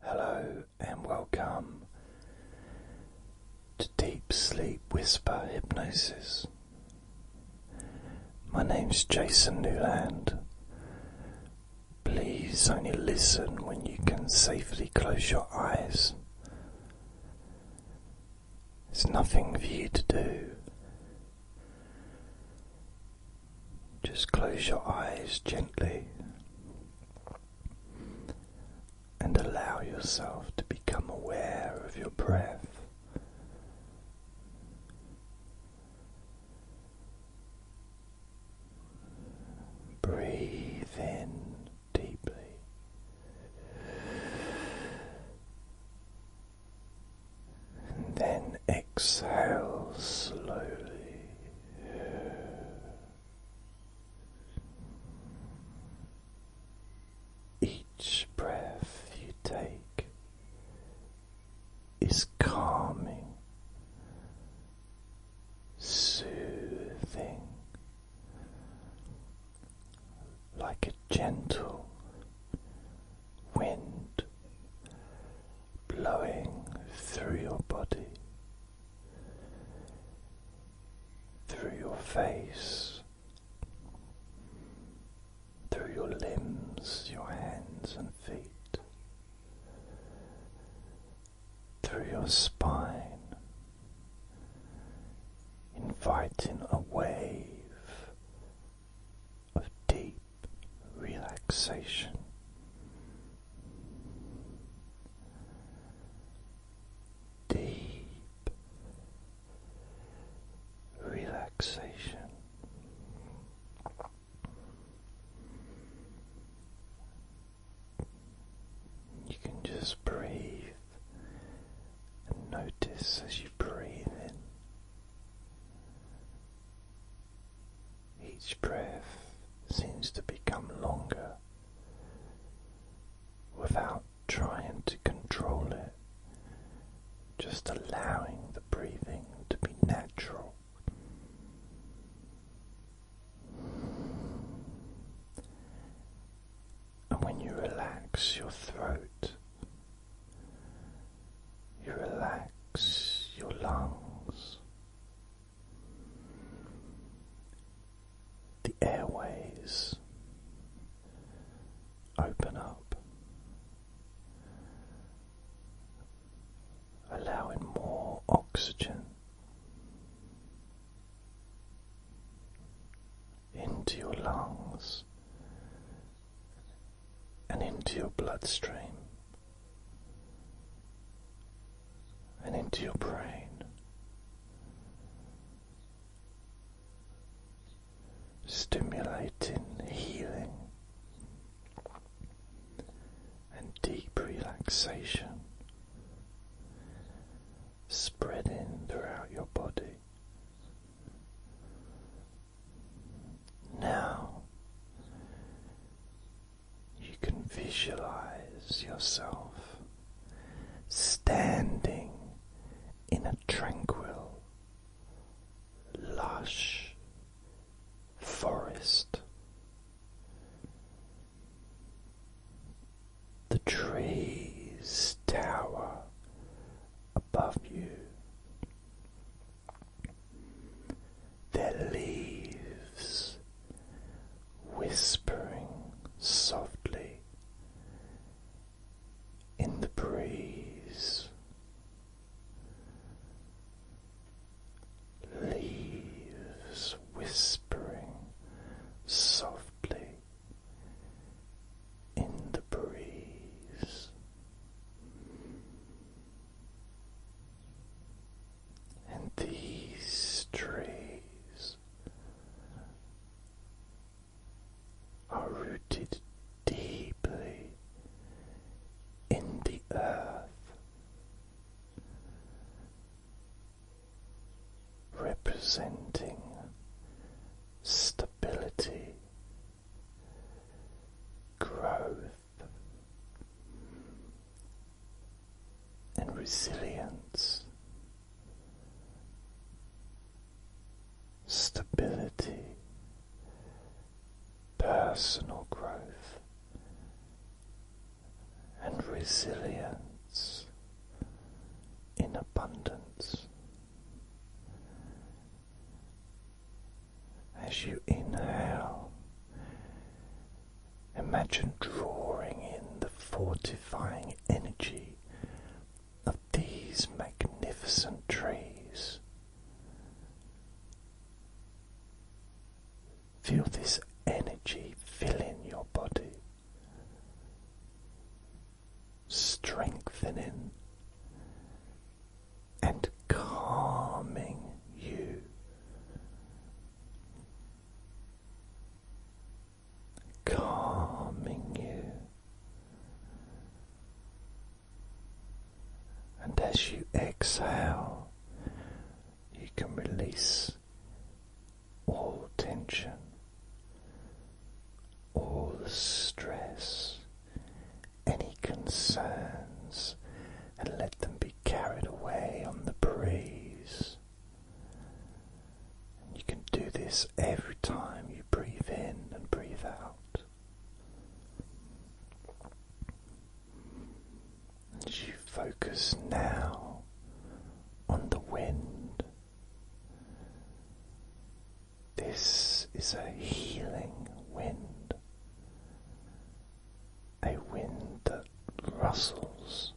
Hello and welcome to Deep Sleep Whisper Hypnosis. My name's Jason Newland. Please only listen when you can safely close your eyes. There's nothing for you to do. Just close your eyes gently and allow yourself to become aware of your breath. Breathe in deeply. And then exhale slowly. Each breath you take is calming, soothing, like a gentle wind blowing through your body, through your face, through your limbs, your hands and feet, through your spine, inviting a wave of deep relaxation. Deep relaxation. You can just breathe and notice as you breathe in each breath seems to become longer without trying to control it, just allowing the breathing to be natural. And when you relax your throat, you relax your lungs, the airways open up, allowing more oxygen into your lungs and into your bloodstream and into your brain. Stimulating healing and deep relaxation spreading throughout your body. Now you can visualize yourself standing in a tranquil, lush forest. The trees tower above you their leaves whispering softly in the breeze. Leaves whispering softly in the breeze. And these trees are rooted deeply in the earth, representing stability, growth, and resilience, stability, personal growth, and resilience in abundance. As you inhale, Imagine drawing in the fortifying energy of these magnificent trees. Feel this energy filling your body, strengthening and calming you calming you. And as you exhale, you can release all tension, all the stress, any concerns and let them be carried away on the breeze. you can do this every time you breathe in and breathe out. As you focus now on the wind, this is a healing wind a wind that rustles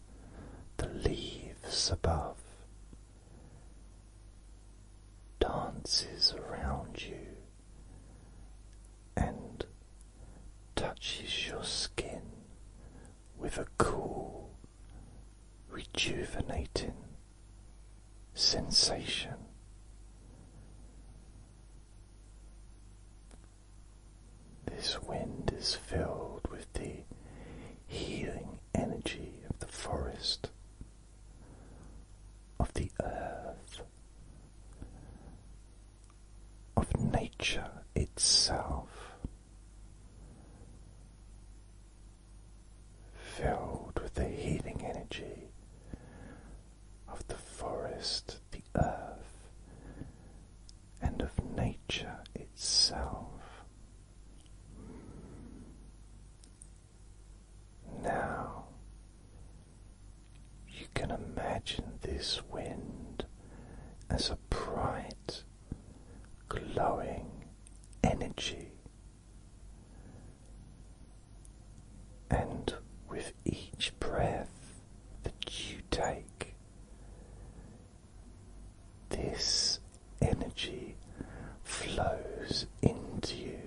the leaves above, dances around you, and touches your skin with a cool, rejuvenating sensation. This wind is filled with the healing energy of the forest, of the earth, of nature itself, filled with the healing energy of the forest, the earth, and of nature itself. Now you can imagine this wind as a bright, glowing energy. And with each breath, that you take. This energy flows into you,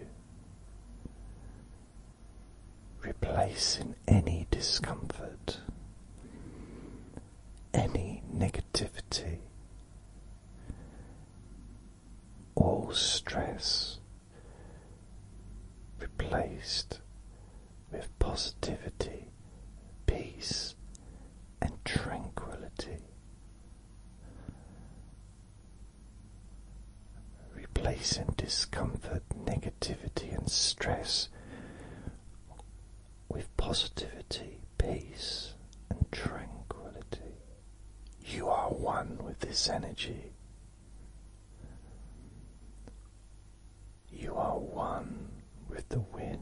replacing any discomfort, any negativity, all stress replaced with positivity, peace, and tranquility. Replacing discomfort, negativity, and stress with positivity, peace, and tranquility. You are one with this energy. You are one with the wind.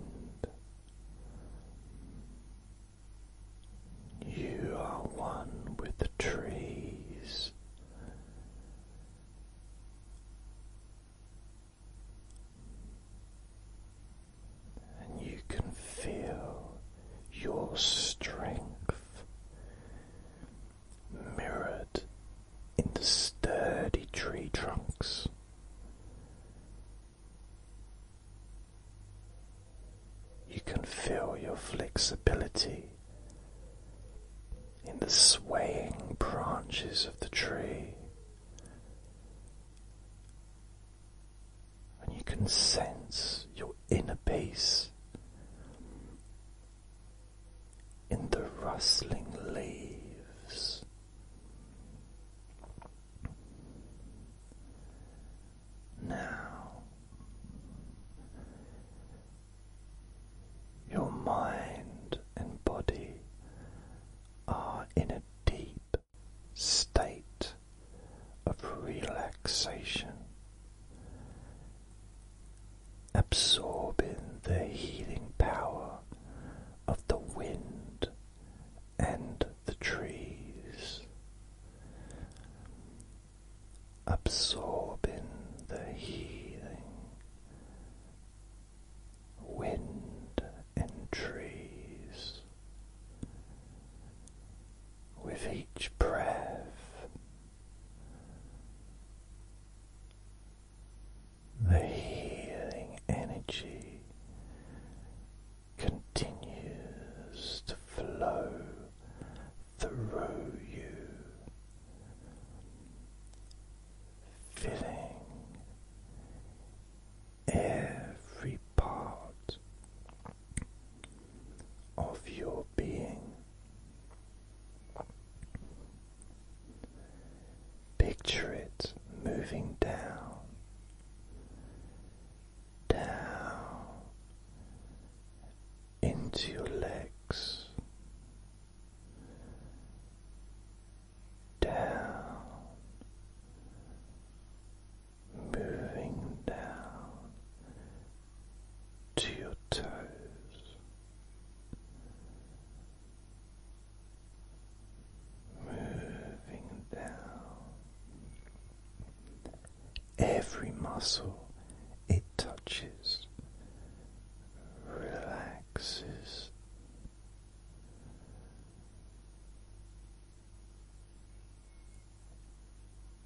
You are one with the trees. And you can feel your strength mirrored in the sturdy tree trunks. You can feel your flexibility in the swaying branches of the tree, and you can sense your inner peace in the rustling leaves. Now, your mind and body are in a deep state of relaxation, absorbing the healing power of the wind and the trees, absorbing the healing wind and trees. With each breath, the healing energy continues to flow through you, filling every part of your being. Picture it moving down, down into your legs, down, moving down to your toes moving down every muscle it touches relaxes.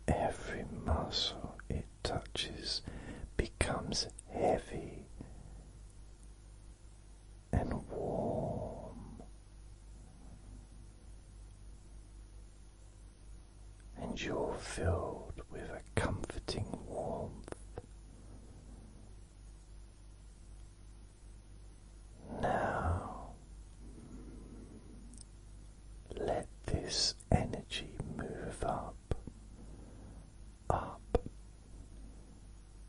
Every muscle it touches becomes heavy and warm, and you're filled with a comforting warmth. Now, let this energy move up up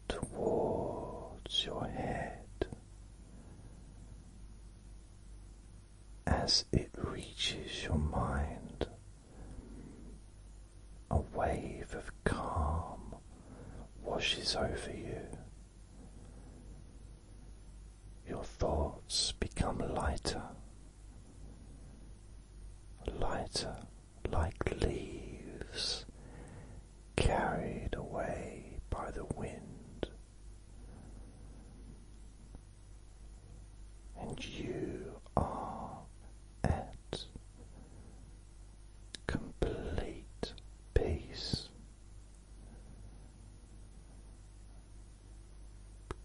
towards your head as it reaches your mind. A wave of calm washes over you. Your thoughts become lighter, lighter like leaves carried away by the wind. And you are at complete peace,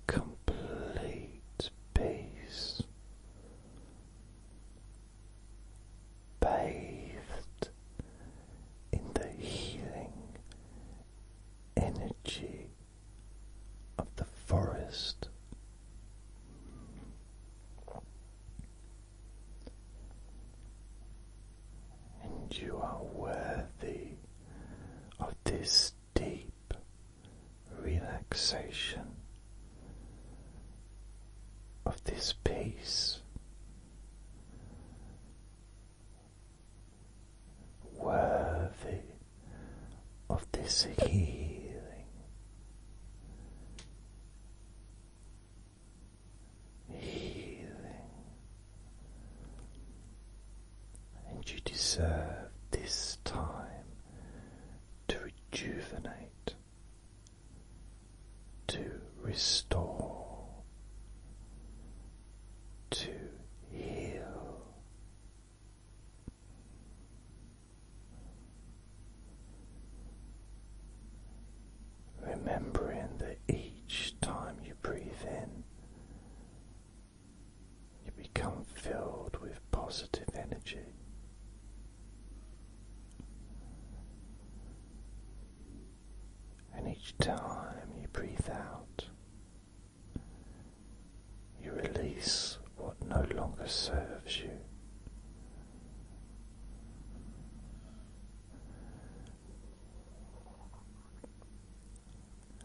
complete peace, bathed in the healing energy of the forest. And you are worthy of this deep relaxation of this peace. Worthy of this healing, healing, and you deserve this time to rejuvenate, to restore, to heal. Remembering that each time you breathe in, you become filled with positive energy. And each time you breathe out, you release what no longer serves you.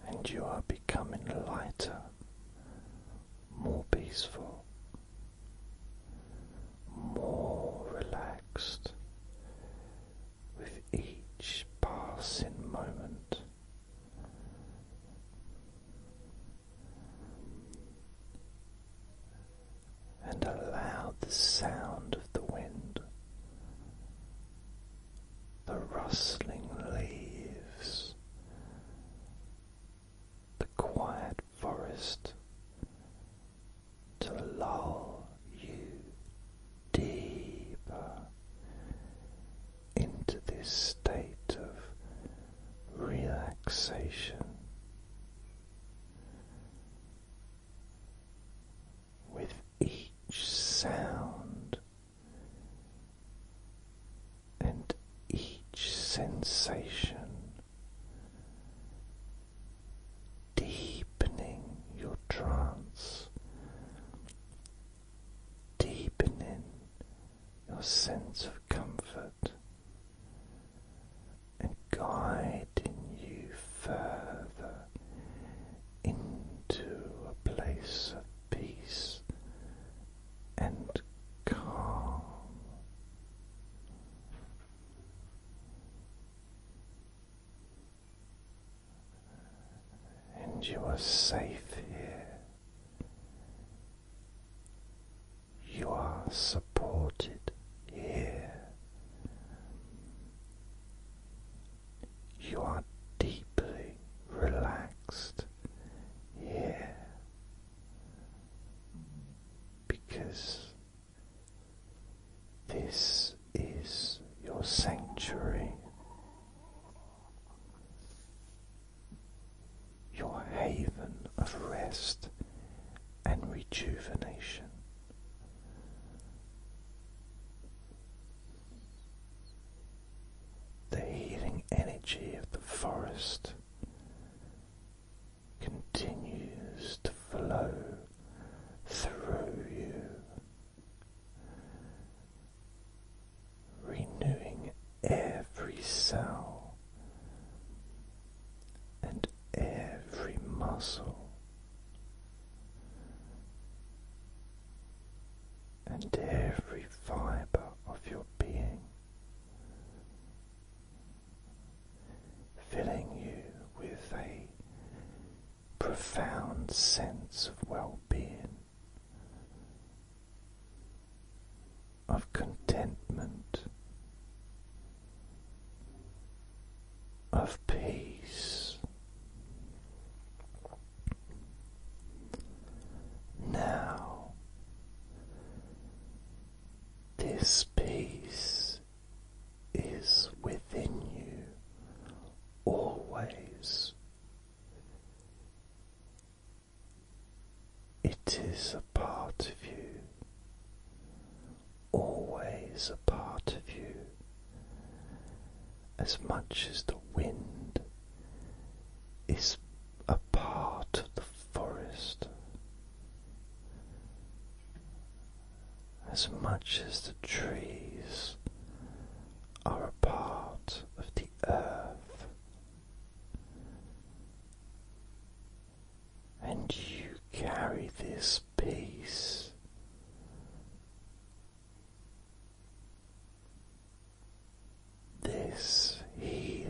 And you are becoming lighter, more peaceful, more relaxed with each passing moment. And allow the sound of the wind, the rustling leaves, the quiet forest to lull you deeper into this state of relaxation. With each sound and each sensation, deepening your trance, deepening your sense of comfort, and guiding you further into a place of peace and calm. And you are safe here. You are supported here. You are deeply relaxed here because this is your sanctuary, your haven of rest and rejuvenation. The healing energy of the forest continues to flow through you, renewing every cell and every muscle and every fiber of your being filling you with a profound sense of well being, of contentment, of peace. Now, this peace is within you always. It is a part of you, always a part of you, as much as the wind is a part of the forest as much as the trees are a part of the earth, and you carry this peace. This healing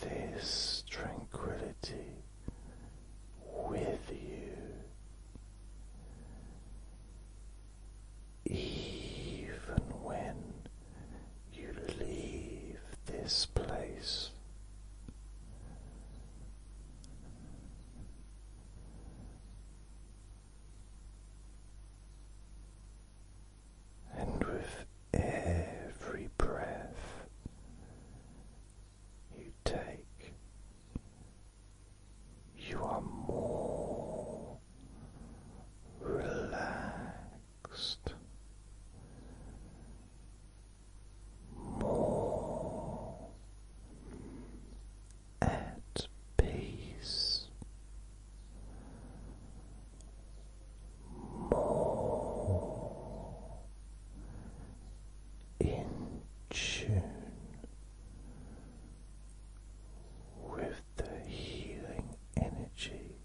this tranquility with you, even when you leave this place. And with every breath you take, you are more relaxed, more at peace, more in tune with the healing energy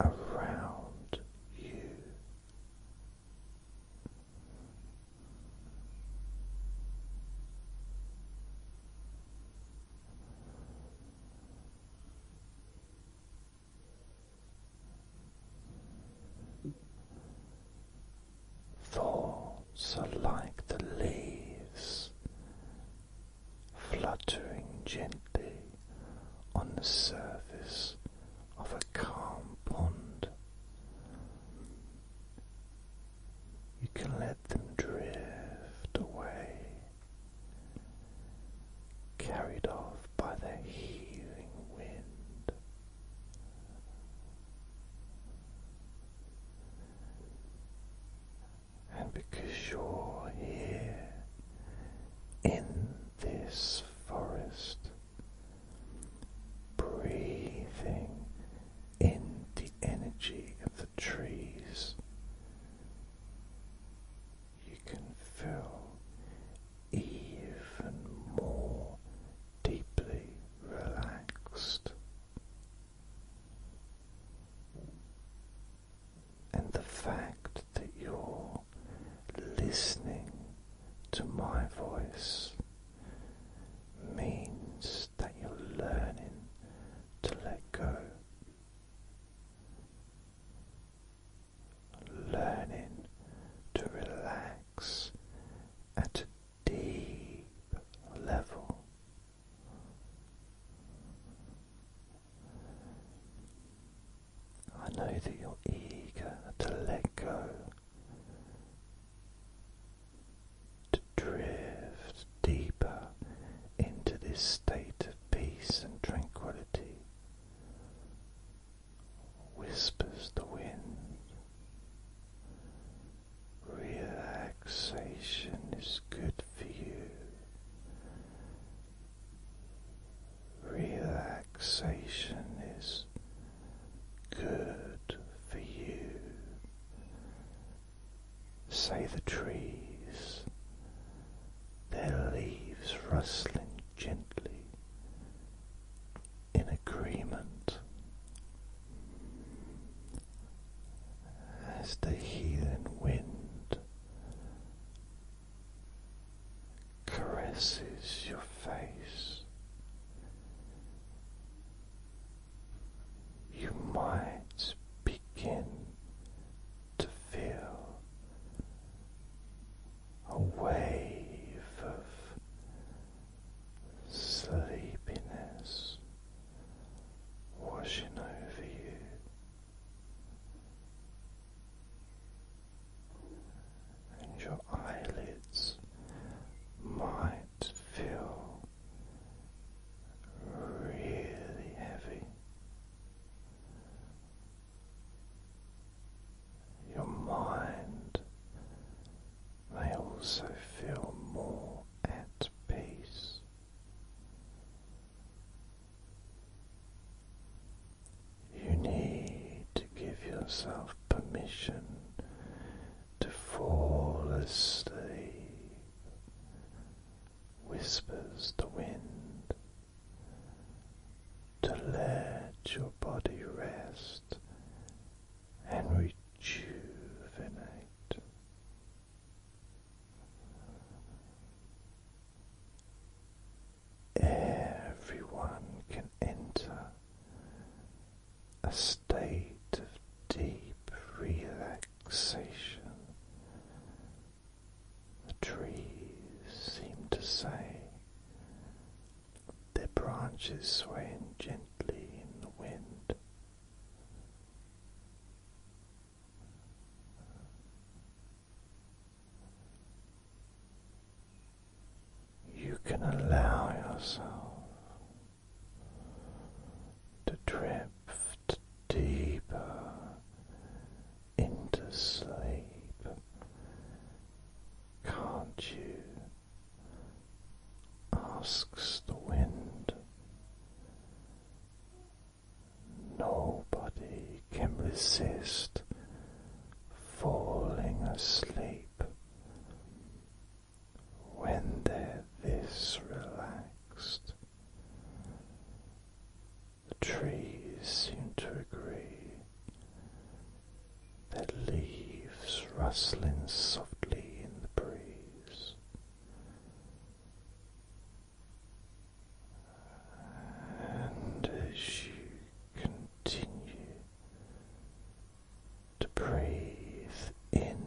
around you. Thoughts are like the leaves fluttering gently on the surface of a calm pond. You can let let drift away, carried off by the healing wind. And because you're here in this forest, breathing in the energy of the trees. You can feel even more deeply relaxed. And the fact that you're listening to my voice means that you're learning to let go. Learning to relax at deep level. I know that you're eager to let go to drift deeper into this state of peace and tranquility. Whispers the wind. Relaxation is good for you. Relaxation is good for you say the trees, their leaves rustling gently in agreement as the healing wind caresses your face you might begin to feel a wave of sleepiness washing over you. And your eyelids might feel really heavy. Your mind may also feel more at peace. You need to give yourself permission to fall asleep whispers the wind to let your body rest and rejuvenate. Everyone can enter a state of deep relaxation. The trees seem to say, their branches sway swaying gently in the wind. You can allow yourself to drift deeper into sleep. Can't you? asks the wind. Nobody can resist falling asleep when they're this relaxed. The trees seem to agree, their leaves rustling softly in the breeze. And as you continue to breathe in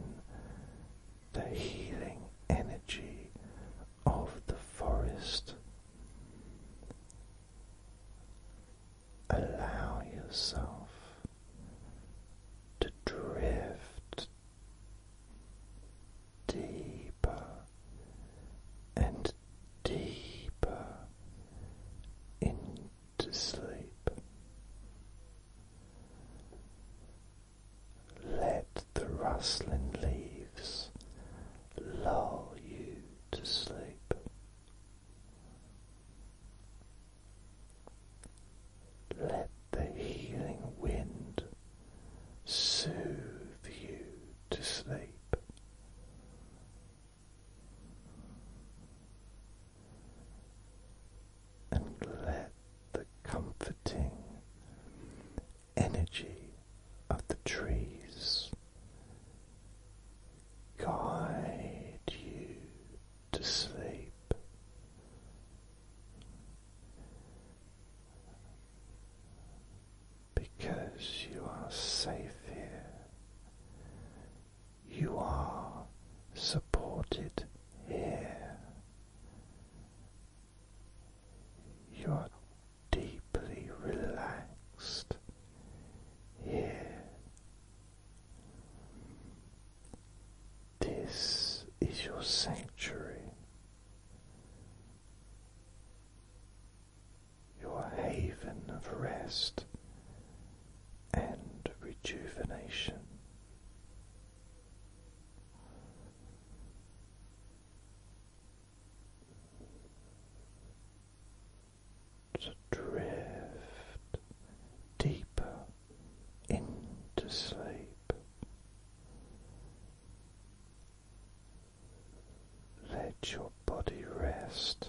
the healing energy of the forest. Allow yourself to drift deeper and deeper into sleep. Let the rustling leaves lull you to sleep. Let the healing wind soothe you to sleep and let the comforting energy of the trees guide you to sleep. Because you are safe here, you are supported here, you're deeply relaxed here. This is your sanctuary, your haven of rest and rejuvenation to drift deeper into sleep. Let your body rest.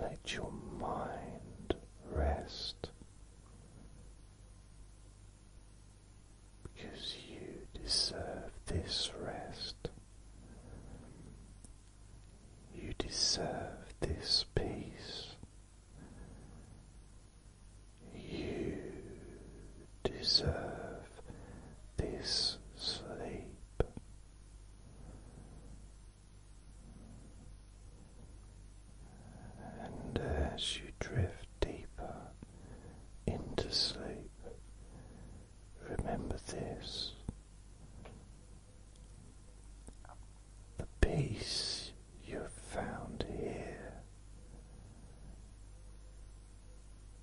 Let your mind rest because you deserve this rest. You deserve this peace. You deserve this sleep. And as you drift deeper into sleep, remember this the peace you've found here,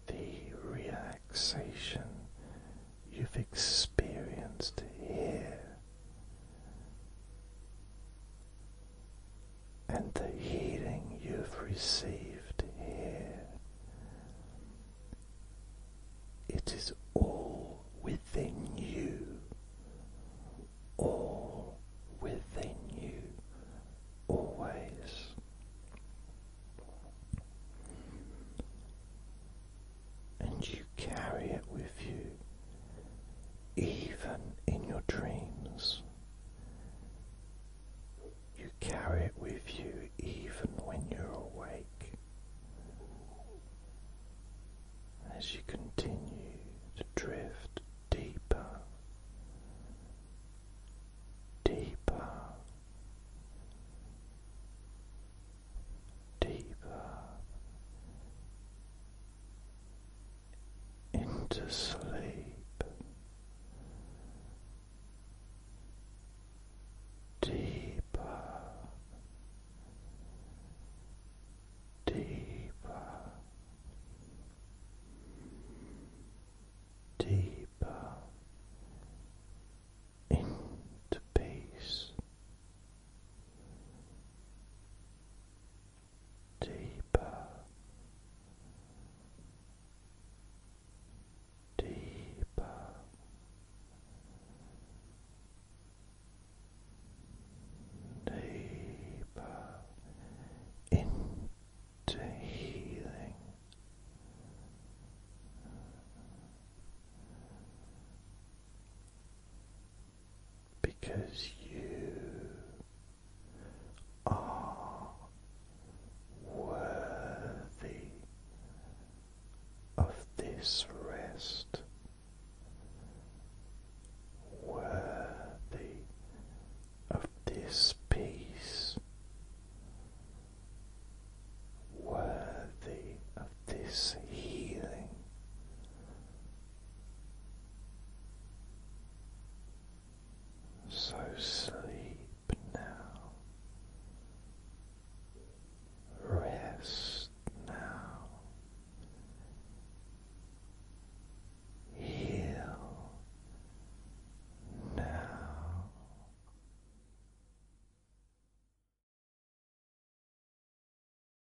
the relaxation you've experienced here and the healing you've received here. It is all within you, all within you, always and you carry it with you even in your dreams. You carry it with you even when you're awake. As you continue to drift deeper, deeper, deeper into sleep, deeper, deeper, deeper into peace deeper, deeper. Deeper into healing, because you are worthy of this rest, worthy of this peace, worthy of this healing. So sleep now, rest now, heal now.